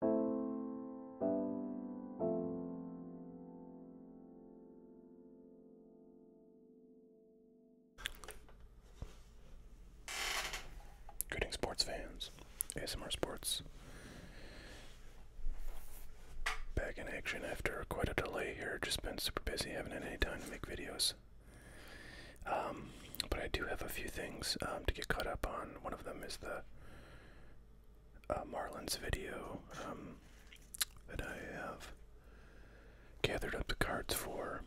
Greeting sports fans, ASMR Sports. Back in action after quite a delay here. Just been super busy, haven't had any time to make videos. Um, but I do have a few things um, to get caught up on. One of them is the uh, Marlin's video um, that I have gathered up the cards for,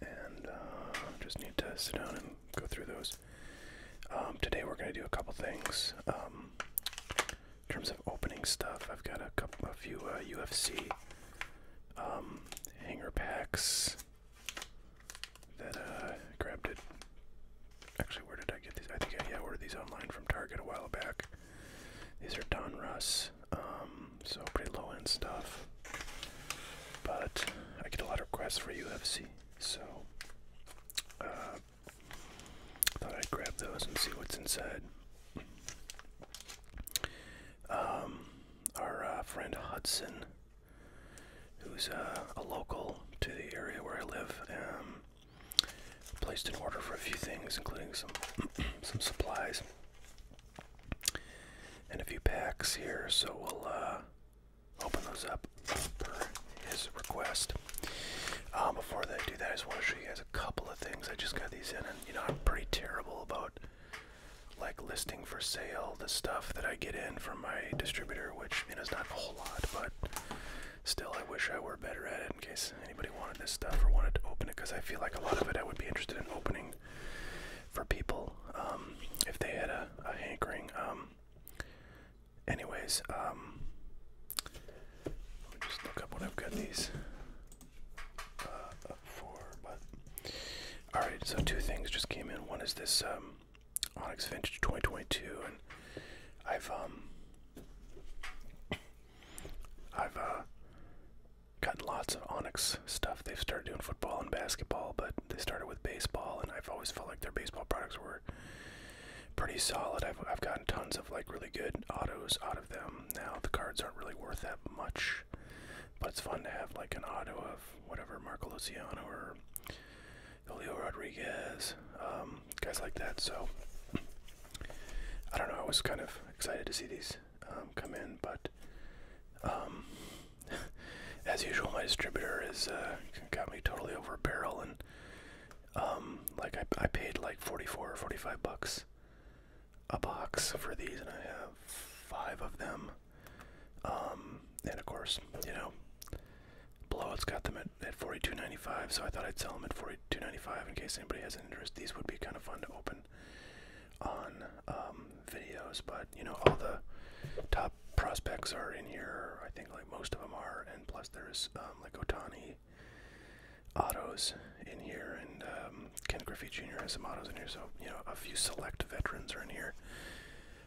and uh, just need to sit down and go through those. Um, today we're going to do a couple things. Um, in terms of opening stuff, I've got a couple, a few UFC uh, hanger packs that uh, grabbed it. Actually, where did I get these? I think I yeah, ordered these online from Target a while back. These are Don Russ, um, so pretty low end stuff. But I get a lot of requests for UFC, so uh, thought I'd grab those and see what's inside. Um, our uh, friend Hudson who's uh, a local to the area where I live, um, placed an order for a few things, including some some supplies and a few packs here. So we'll uh, open those up per his request. Uh, before I do that, I just want to show you guys a couple of things. I just got these in, and you know I'm pretty terrible about like listing for sale the stuff that I get in from my distributor, which you know is not a whole lot, but still, I wish I were better at it in case anybody wanted this stuff or wanted to open it because I feel like a lot of it I would be interested in opening for people um, if they had a, hankering. Um, anyways, um, let just look up what I've got these uh, up for. But all right, so two things just came in. One is this um, Onyx Vintage 2022, and I've um, I've uh, gotten lots of Onyx stuff. They've started doing football and basketball, but they started with baseball, and I've always felt like their baseball products were pretty solid. I've I've gotten tons of like really good autos out of them. Now the cards aren't really worth that much, but it's fun to have like an auto of whatever Marco Luciano or Leo Rodriguez, um, guys like that. So I don't know. I was kind of excited to see these um, come in, but um, as usual, my distributor has uh, got me totally over a barrel, and like I, I paid like 44 or 45 bucks a box for these, and I have five of them. and of course, you know, Below, it has got them at, at 42.95, so I thought I'd sell them at 42.95 in case anybody has an interest. These would be kind of fun to open on um, videos, but you know all the top prospects are in here. I think like most of them are, and plus there's um, like Otani autos in here, and um, Ken Griffey Jr. has some autos in here. So you know a few select veterans are in here.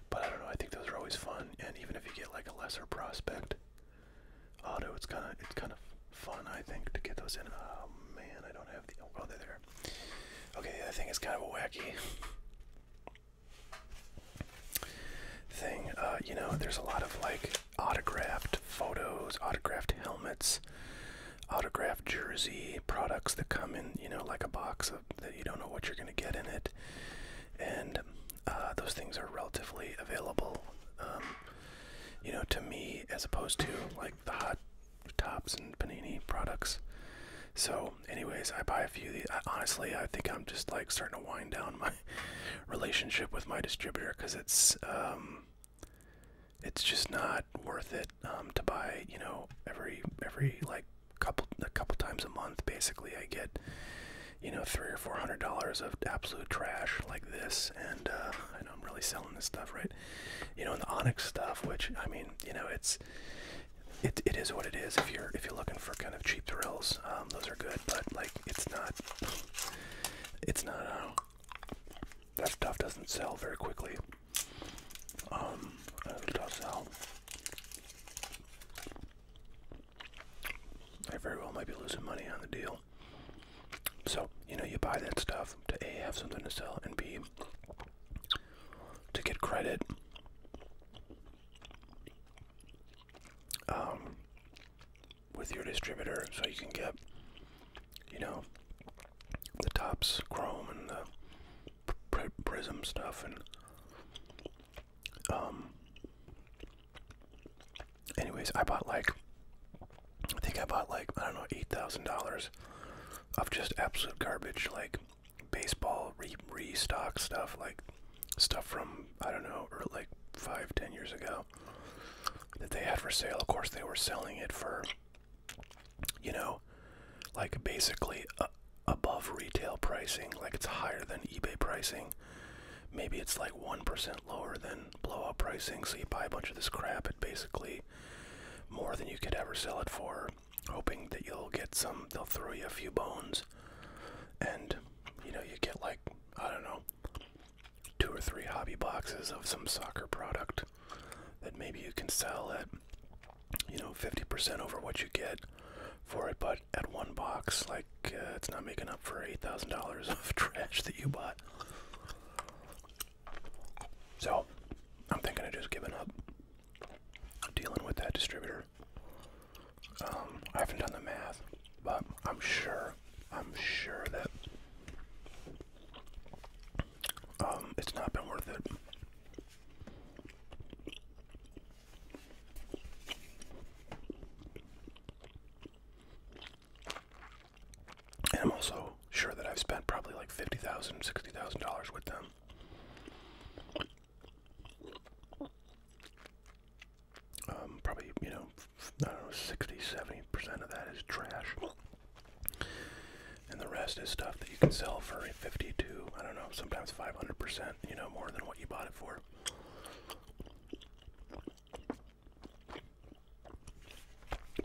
But I don't know. I think those are always fun, and even if you get like a lesser prospect auto, it's kind of it's kind of fun. I think to get those in. Oh man, I don't have the. Oh, well, they're there. Okay, that thing is kind of a wacky thing. Uh, you know, there's a lot of like autographed photos, autographed helmets, autographed jersey products that come in. You know, like a box that you don't know what you're going to get in it, and uh, those things are relatively available. Um, you know, to me, as opposed to like the hot tops and panini products. So, anyways, I buy a few. Of these. honestly, I think I'm just like starting to wind down my relationship with my distributor because it's um, it's just not worth it um, to buy. You know, every every like couple a couple times a month basically I get you know three or four hundred dollars of absolute trash like this and uh, I am really selling this stuff right you know and the onyx stuff which I mean you know it's it, it is what it is if you're if you're looking for kind of cheap thrills um, those are good but like it's not it's not uh, that stuff doesn't sell very quickly um, it does sell I very well might be losing money on the deal. So, you know, you buy that stuff to A, have something to sell, and B, to get credit. Um, with your distributor, so you can get, you know, the tops chrome and the prism stuff and um, anyways, I bought like, I think I bought like I don't know eight thousand dollars of just absolute garbage, like baseball re restock stuff, like stuff from I don't know, or like five, ten years ago that they had for sale. Of course, they were selling it for, you know, like basically uh, above retail pricing, like it's higher than eBay pricing. Maybe it's like 1% lower than blowout pricing, so you buy a bunch of this crap at basically more than you could ever sell it for, hoping that you'll get some, they'll throw you a few bones, and you know, you get like, I don't know, two or three hobby boxes of some soccer product that maybe you can sell at, you know, 50% over what you get for it, but at, one box, like uh, it's not making up for eight thousand dollars of trash that you bought. So, I'm thinking of just giving up dealing with that distributor. Um, I haven't done the math, but I'm sure, I'm sure that um, it's not been worth it. I'm also sure that I've spent probably like $50,000, $60,000 with them. Um, probably, you know, I don't know, 60, 70% of that is trash. And the rest is stuff that you can sell for 50 to, I don't know, sometimes 500%, you know, more than what you bought it for.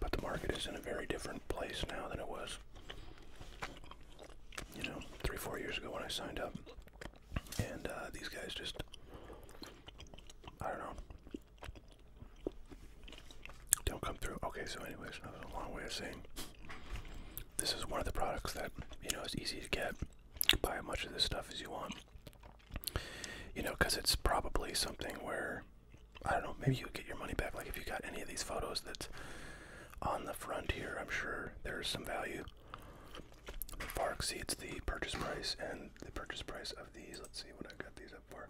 But the market is in a very different place now than it was, you know, three, four years ago when I signed up. And uh, these guys just, I don't know, don't come through. Okay, so, anyways, that was a long way of saying this is one of the products that, you know, is easy to get buy as much of this stuff as you want. You know, because it's probably something where I don't know. Maybe you get your money back. Like if you got any of these photos that's on the front here, I'm sure there's some value far exceeds the purchase price and the purchase price of these. Let's see what I got these up for.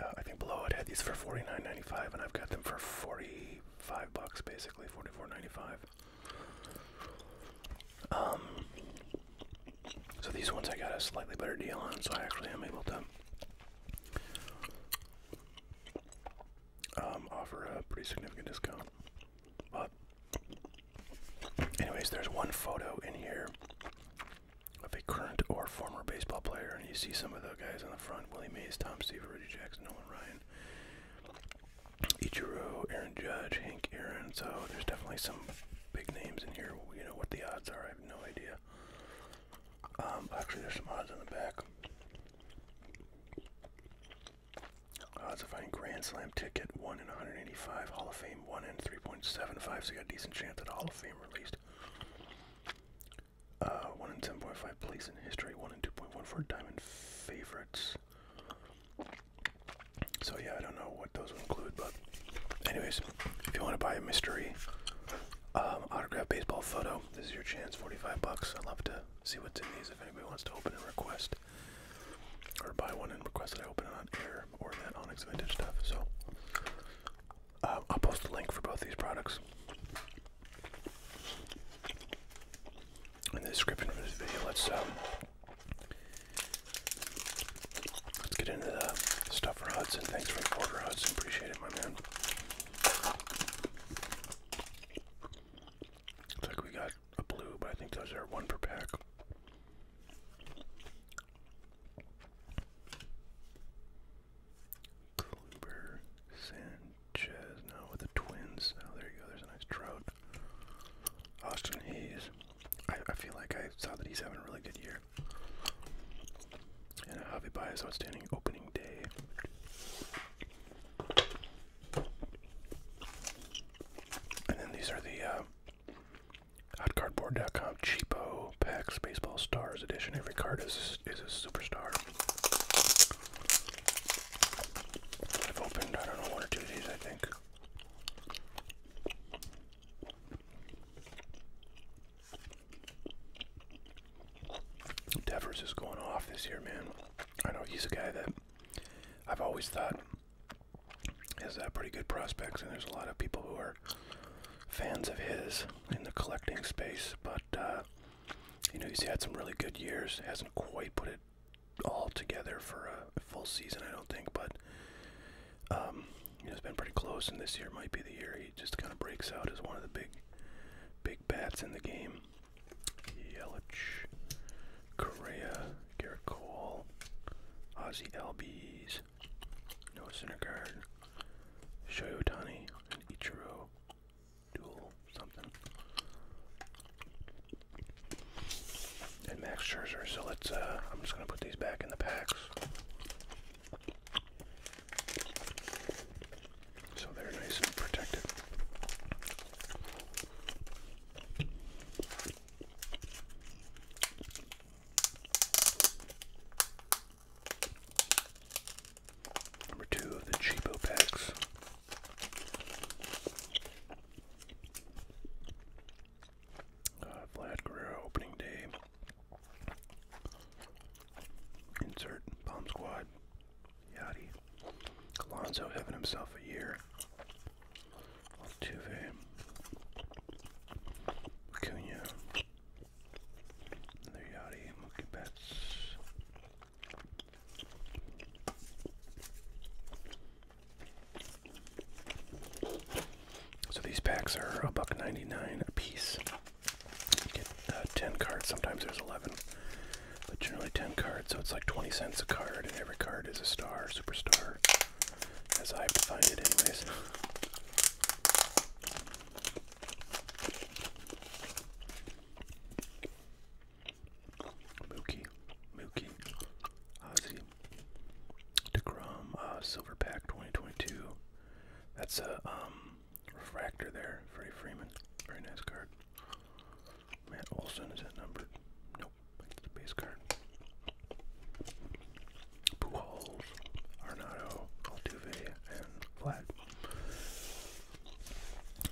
Uh, I think below I had these for $49.95 and I've got them for $40 five bucks basically, forty four ninety five. Um, so these ones I got a slightly better deal on, so I actually am able to um, offer a pretty significant discount. But, anyways, there's one photo in here of a current or former baseball player, and you see some of the guys on the front: Willie Mays, Tom Seaver, Reggie Jackson, Nolan Ryan, Ichiro, Aaron Judge, Hank Aaron. So there's definitely some big names in here. You know what the odds are? I have no idea. Um, actually, there's some odds on the back. Odds of finding Grand Slam ticket one in 185, Hall of Fame one in 3.75. So you got a decent chance at Hall of Fame released. Uh, 1 in 10.5 place in history, 1 in 2.1 for diamond favorites. So, yeah, I don't know what those will include, but, anyways, if you want to buy a mystery um, autograph baseball photo, this is your chance 45 bucks. I'd love to see what's in these if anybody wants to open and request, or buy one and request that I open it on air or that Onyx Vintage stuff. So, uh, I'll post a link for both these products in the description for this video. Let's um, let's get into the stuff for Hudson. Thanks for the order, Hudson. Appreciate it, my man. Looks like we got a blue, but I think those are one per pack. Kluber, Sand, Ches now with the Twins. Oh, there you go. There's a nice Trout. Austin Hayes. I, I feel like I saw that he's having a really good year. And Javi Baez outstanding opening day. And then these are the uh, hotcardboard.com cheapo packs baseball stars edition. Every card is is a superstar. I've opened, I don't know, one or two of these, I think. Devers is going off this year, man. I know he's a guy that I've always thought has uh, pretty good prospects, and there's a lot of people who are fans of his in the collecting space, but uh, you know, he's had some really good years. Hasn't quite put it all together for a full season, I don't think, but um, it's been pretty close, and this year might be the year he just kind of breaks out as one of the big, big bats in the game. Yelich, Correa, Garrett Cole, Ozzy Albies, Noah Syndergaard, Shoyotani, and Ichiro dual something. And Max Scherzer. So let's. Uh, I'm just gonna put these back in the packs. So they're nice and protected. Number two of the cheapo packs. Uh, Vlad Guerrero opening day. Insert bomb squad. Yachty. Alonso having himself a year. Altuve. Acuna. Another Yachty. Mookie Betts. So these packs are a buck ninety nine a piece. You get uh, ten cards. Sometimes there's eleven, but generally ten cards. So it's like twenty cents a card, and every card is a star, superstar, as I find it, anyways. Mookie, Mookie, Ozzy, uh, DeGrom, uh, Silver Pack 2022. That's a um, refractor there, Freddie Freeman. Very nice card. Matt Olson, is that number? Nope, base card. Pujols, Arnado, Altuve, and Vlad.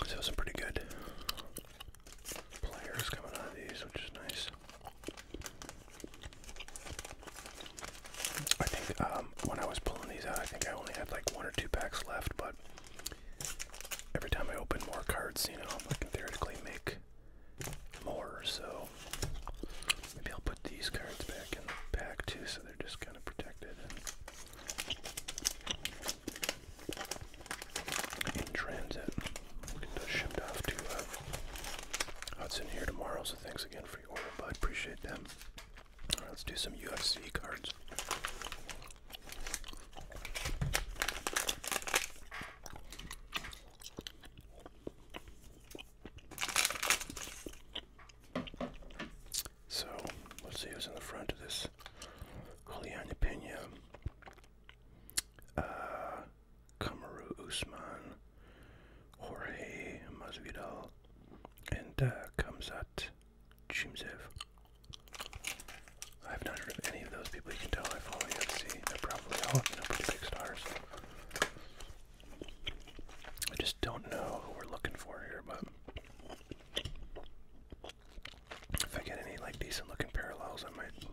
So some pretty good players coming out of these, which is nice. I think um, when I was pulling these out, I think I only had like one or two packs left, but every time I open more cards, you know, I can theoretically make more. So maybe I'll put these cards back in the pack too, so they're just kind of protected in transit. We can get shipped off to uh, Hudson here tomorrow, so thanks again for your order, bud. Appreciate them. Alright, let's do some UFC cards. So, let's see who's in the front of this Julian Pena, uh, Usman, Jorge Masvidal, and uh, Kamzat Chimzev. I've not heard of any of those people. You can tell I follow UFC. They're probably all you know, pretty big stars. I just don't know who we're looking for here, but if I get any like decent looking parallels, I might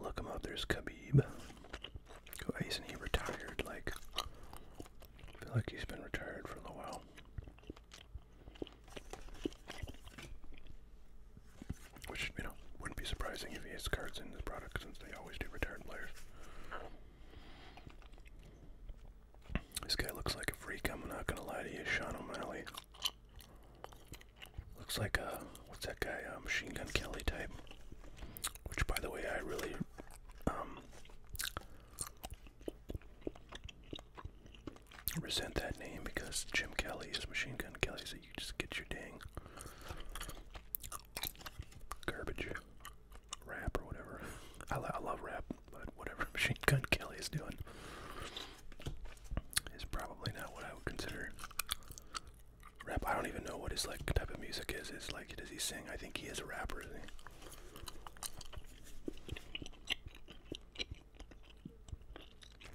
look them up. There's Khabib. Oh, isn't he retired? Like, I feel like he's been retired for a while. Which, you know, wouldn't be surprising if he has cards in this product since they always do retired players. This guy looks like a freak, I'm not gonna lie to you, Sean O'Malley. Looks like a, what's that guy, uh, Machine Gun Kelly type. Which, by the way, I really, um, resent that name because Jim Kelly is Machine Gun Kelly, so you just get your dang garbage rap or whatever. I love rap but whatever Machine Gun Kelly is doing is probably not what I would consider rap. I don't even know what his like type of music is. Is like does he sing? I think he is a rapper.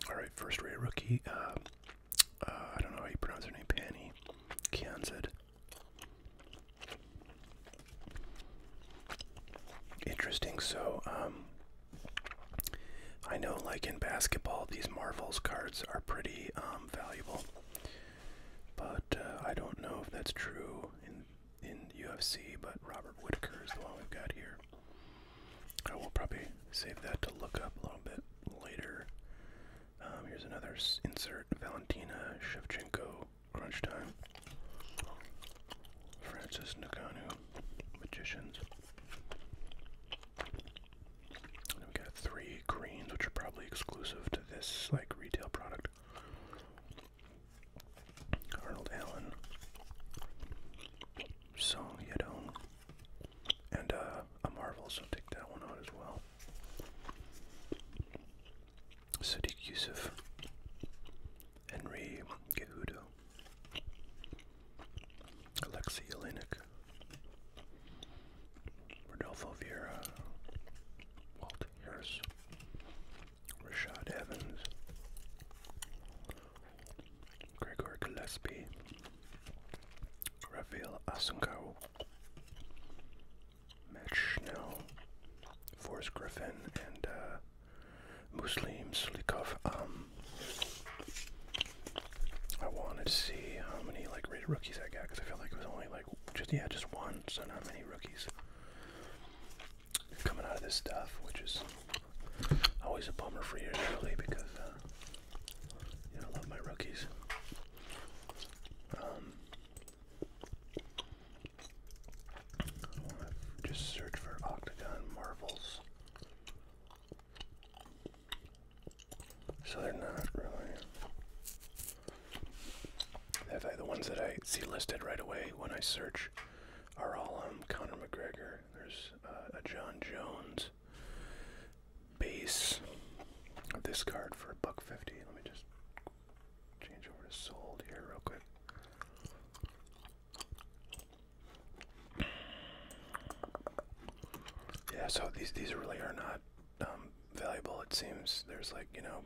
All right, first rate rookie. Uh, uh, I don't know how you pronounce her name. Panny Kianzad. Interesting. So, um, I know, like in basketball, these Marvels cards are pretty um, valuable, but uh, I don't know if that's true in in UFC. But Robert Whitaker is the one we've got here. I will probably save that to look up a little bit later. Um, here's another insert: Valentina Shevchenko Crunch Time, Francis Naganu, Magicians. And we got three greens, which are probably exclusive to this like retail product. Arnold Allen, Song Yedong, and uh, a Marvel, so take that one out as well. Sadiq Yusuf, Henry Gehudo, Alexei Yelenik, Rodolfo Viera, Walt Harris, Rashad Evans, Gregory Gillespie, Rafael Asunko, Matt Forrest Griffin, and uh, Muslim Sulikov. Um, I wanted to see how many like rated rookies I got because I feel like it was only like just yeah just one, so not many rookies coming out of this stuff, which is always a bummer for you really because uh, you know, I love my rookies. Um, just search for octagon marvels, So they're not really. the ones that I see listed right away when I search are all um, Conor McGregor. There's uh, a John Jones base. This card for buck fifty. Let me just change over to sold here real quick. Yeah, so these these really are not um, valuable. It seems there's like you know,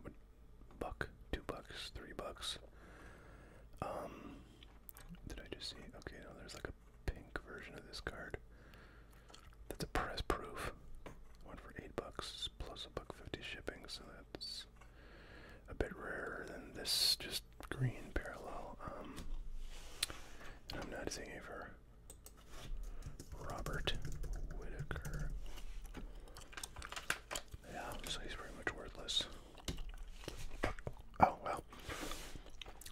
buck, two bucks, three bucks. Um, did I just see? Okay, no, there's like a pink version of this card. That's a press proof. One for eight bucks plus a buck fifty shipping, so that's a bit rarer than this just green parallel. Um, I'm not seeing it for Robert Whitaker. Yeah, so he's pretty much worthless. Oh well,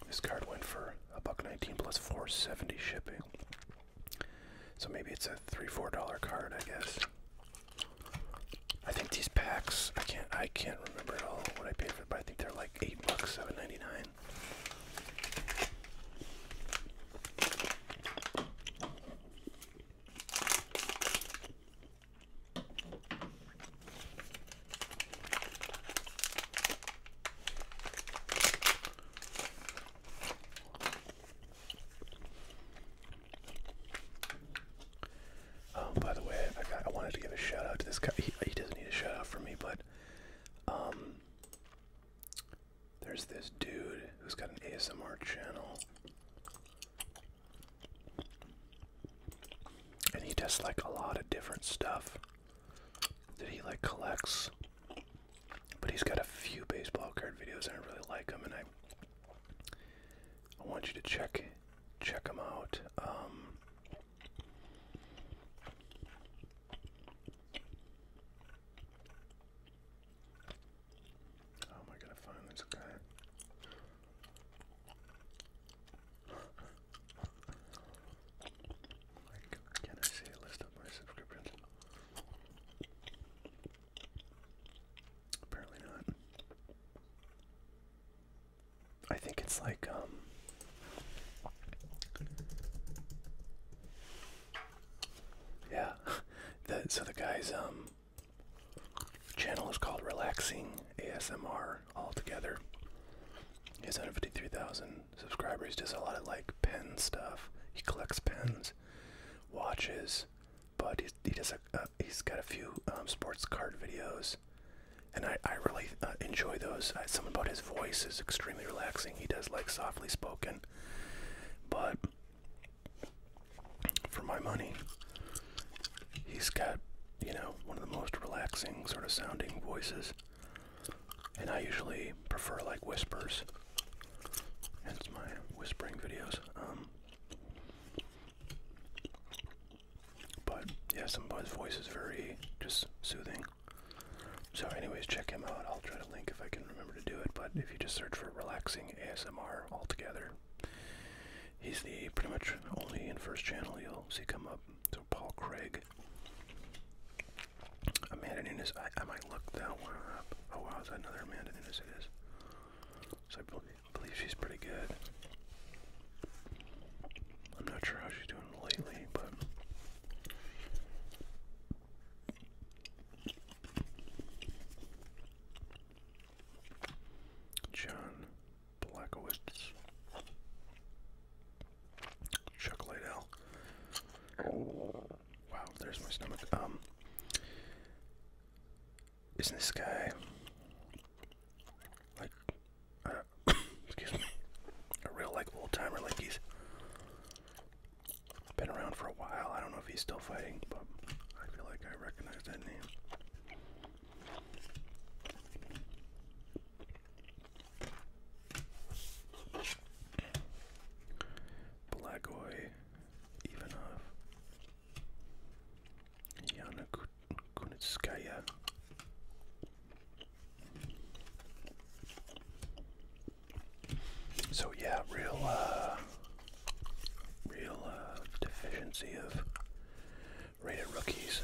this card went for a buck nineteen plus four seventy shipping. So maybe it's a three four dollar card, I guess. I think these packs I can't I can't remember at all what I paid for, but I think they're like eight bucks, seven ninety nine. Um, by the way, I, wanted to give a shout out to this guy. He, doesn't need a shout out from me, but um, there's this dude who's got an ASMR channel, and he does like a lot of different stuff that he like collects. But he's got a few baseball card videos, and I really like them, and I I want you to check check them out. Um, how am I gonna find this guy? Like, can I see a list of my subscriptions? Apparently not. I think it's like, um. Yeah. that. so the guy's, um. Channel is called Relaxing ASMR altogether. He has 153,000 subscribers. Does a lot of like pen stuff. He collects pens, watches, but he's, he does a, uh, he's got a few um, sports card videos, and I, I really uh, enjoy those. Some about his voice is extremely relaxing. He does like softly spoken, but for my money, he's got you know one of the most relaxing sort of sounding voices, and I usually prefer like whispers. Hence my whispering videos. Um, but yeah, somebody's voice is very just soothing. So, anyways, check him out. I'll try to link if I can remember to do it. But if you just search for relaxing ASMR altogether, he's the pretty much only in first channel you'll see come up. So Paul Craig. Amanda Nunes. I, might look that one up. Oh wow, is that another Amanda Nunes? It is. So I believe I believe she's pretty good. I'm not sure how she's doing lately, but. John Blackowitz. Chuck Liddell. Oh, wow, there's my stomach. Um, isn't this guy like, uh, excuse me, a real like old timer? Like he's been around for a while. I don't know if he's still fighting, but I feel like I recognize that name. Blagoy Ivanov. So yeah, real, uh, real uh, deficiency of rated rookies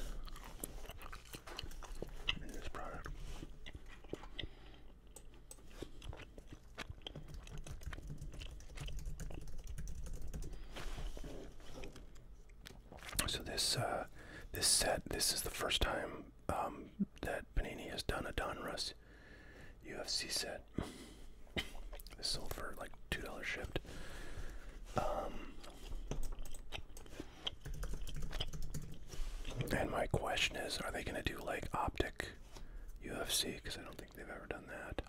in this product. So this uh, this set this is the first time um, that Panini has done a Donruss UFC set. this sold for like two dollars shipped. Um, and my question is, are they going to do like optic UFC? Because I don't think they've ever done that.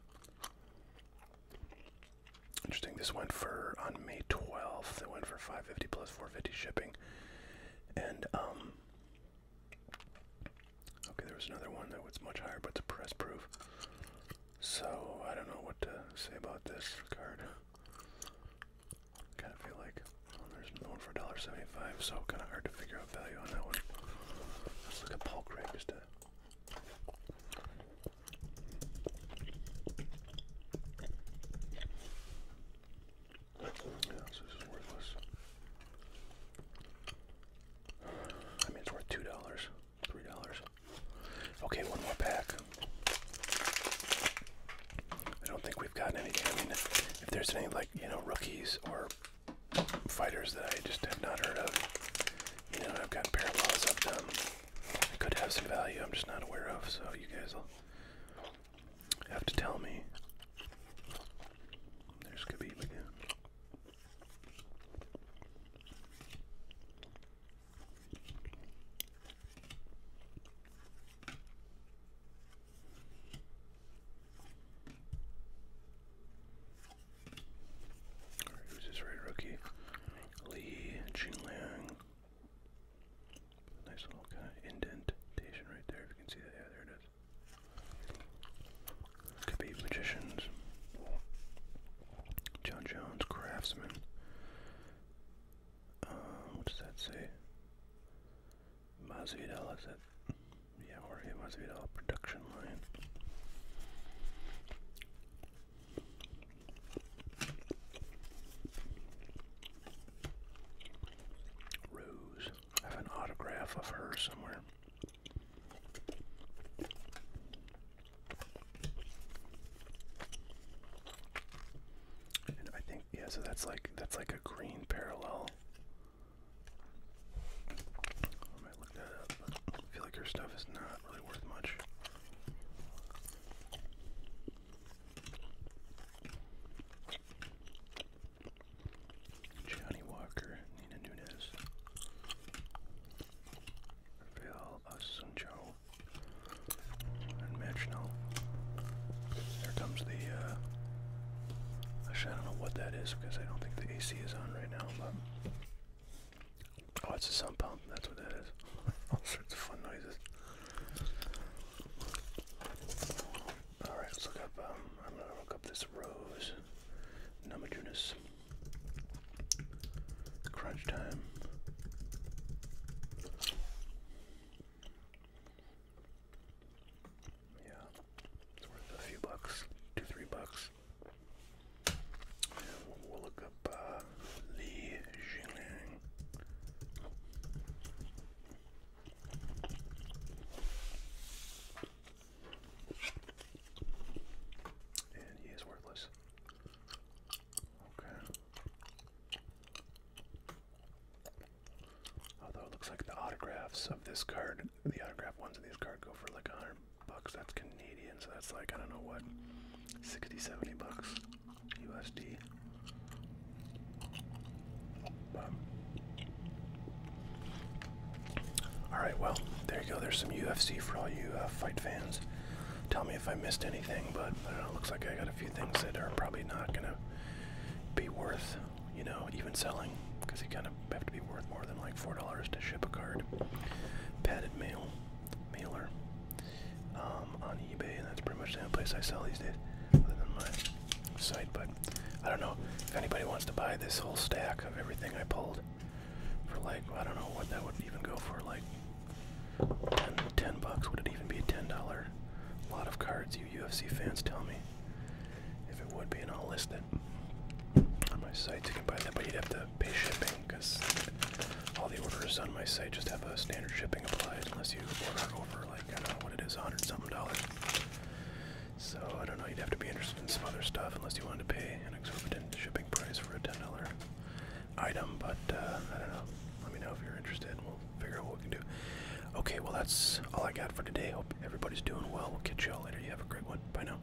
Interesting. This went for on May 12th. It went for 550 plus 450 shipping. And um Okay, there was another one that was much higher, but it's a press proof. So I don't know what to say about this card. Kinda feel like oh, there's another one for $1.75, so kinda hard to figure out value on that one. Let's look at Paul Craig just to this is worthless. I mean, it's worth two dollars, three dollars. Okay, one more pack. I don't think we've gotten anything. I mean, if there's any like you know rookies or fighters that I just have not heard of, you know I've got parallels of them. I could have some value I'm just not aware of, so you guys will have to tell me. There's Khabib again who's this right rookie? Lee Jingliang. Nice little kind indentation right there, if you can see that. Yeah, there it is. Khabib Magicians. John Jones, Craftsman. Um, what does that say? Masvidal, is that? Yeah, Jorge Masvidal, production line. Rose. I have an autograph of her somewhere. And I think yeah, so that's like that's like a green parallel might look that up, I feel like her stuff is not really worth much. Johnny Walker, Nina Nunes, Rafael Asuncho, and Matchnell. There comes the, uh, I don't know what that is because I don't think the AC is on right now, but Oh, it's a sound pump. That's what that is. All sorts of fun noises. All right, let's look up. Um, I'm gonna look up this rose, Namajunas. Crunch time. Yeah, it's worth a few bucks, two, three bucks look up uh, Li And he is worthless. Okay. Although it looks like the autographs of this card, the autograph ones of these cards go for like 100 bucks. That's Canadian, so that's like I don't know what 60, 70 bucks USD. all right, well, there you go. There's some UFC for all you uh, fight fans. Tell me if I missed anything, but Looks like I got a few things that are probably not gonna be worth, you know, even selling because he kind of gotta have to be worth more than like four dollars to ship a card. Padded mail, mailer, um, on eBay, and that's pretty much the only place I sell these days, other than my site. But I don't know if anybody wants to buy this whole stack of everything I pulled for like I don't know what that would even go for like. 10, ten bucks would it even be a ten dollar? A lot of cards, you UFC fans tell me. If it would be, and I'll list on my site, you can buy that, but you'd have to pay shipping because all the orders on my site just have a standard shipping applied, unless you order over like I don't know what it is, a hundred something dollars. So I don't know. You'd have to be interested in some other stuff, unless you wanted to pay an exorbitant shipping price for a ten dollar item. But uh, I don't know. Let me know if you're interested. And we'll figure out what we can do. Okay. Well, that's all I got for today. Hope everybody's doing well. We'll catch y'all later. You have a great one. Bye now.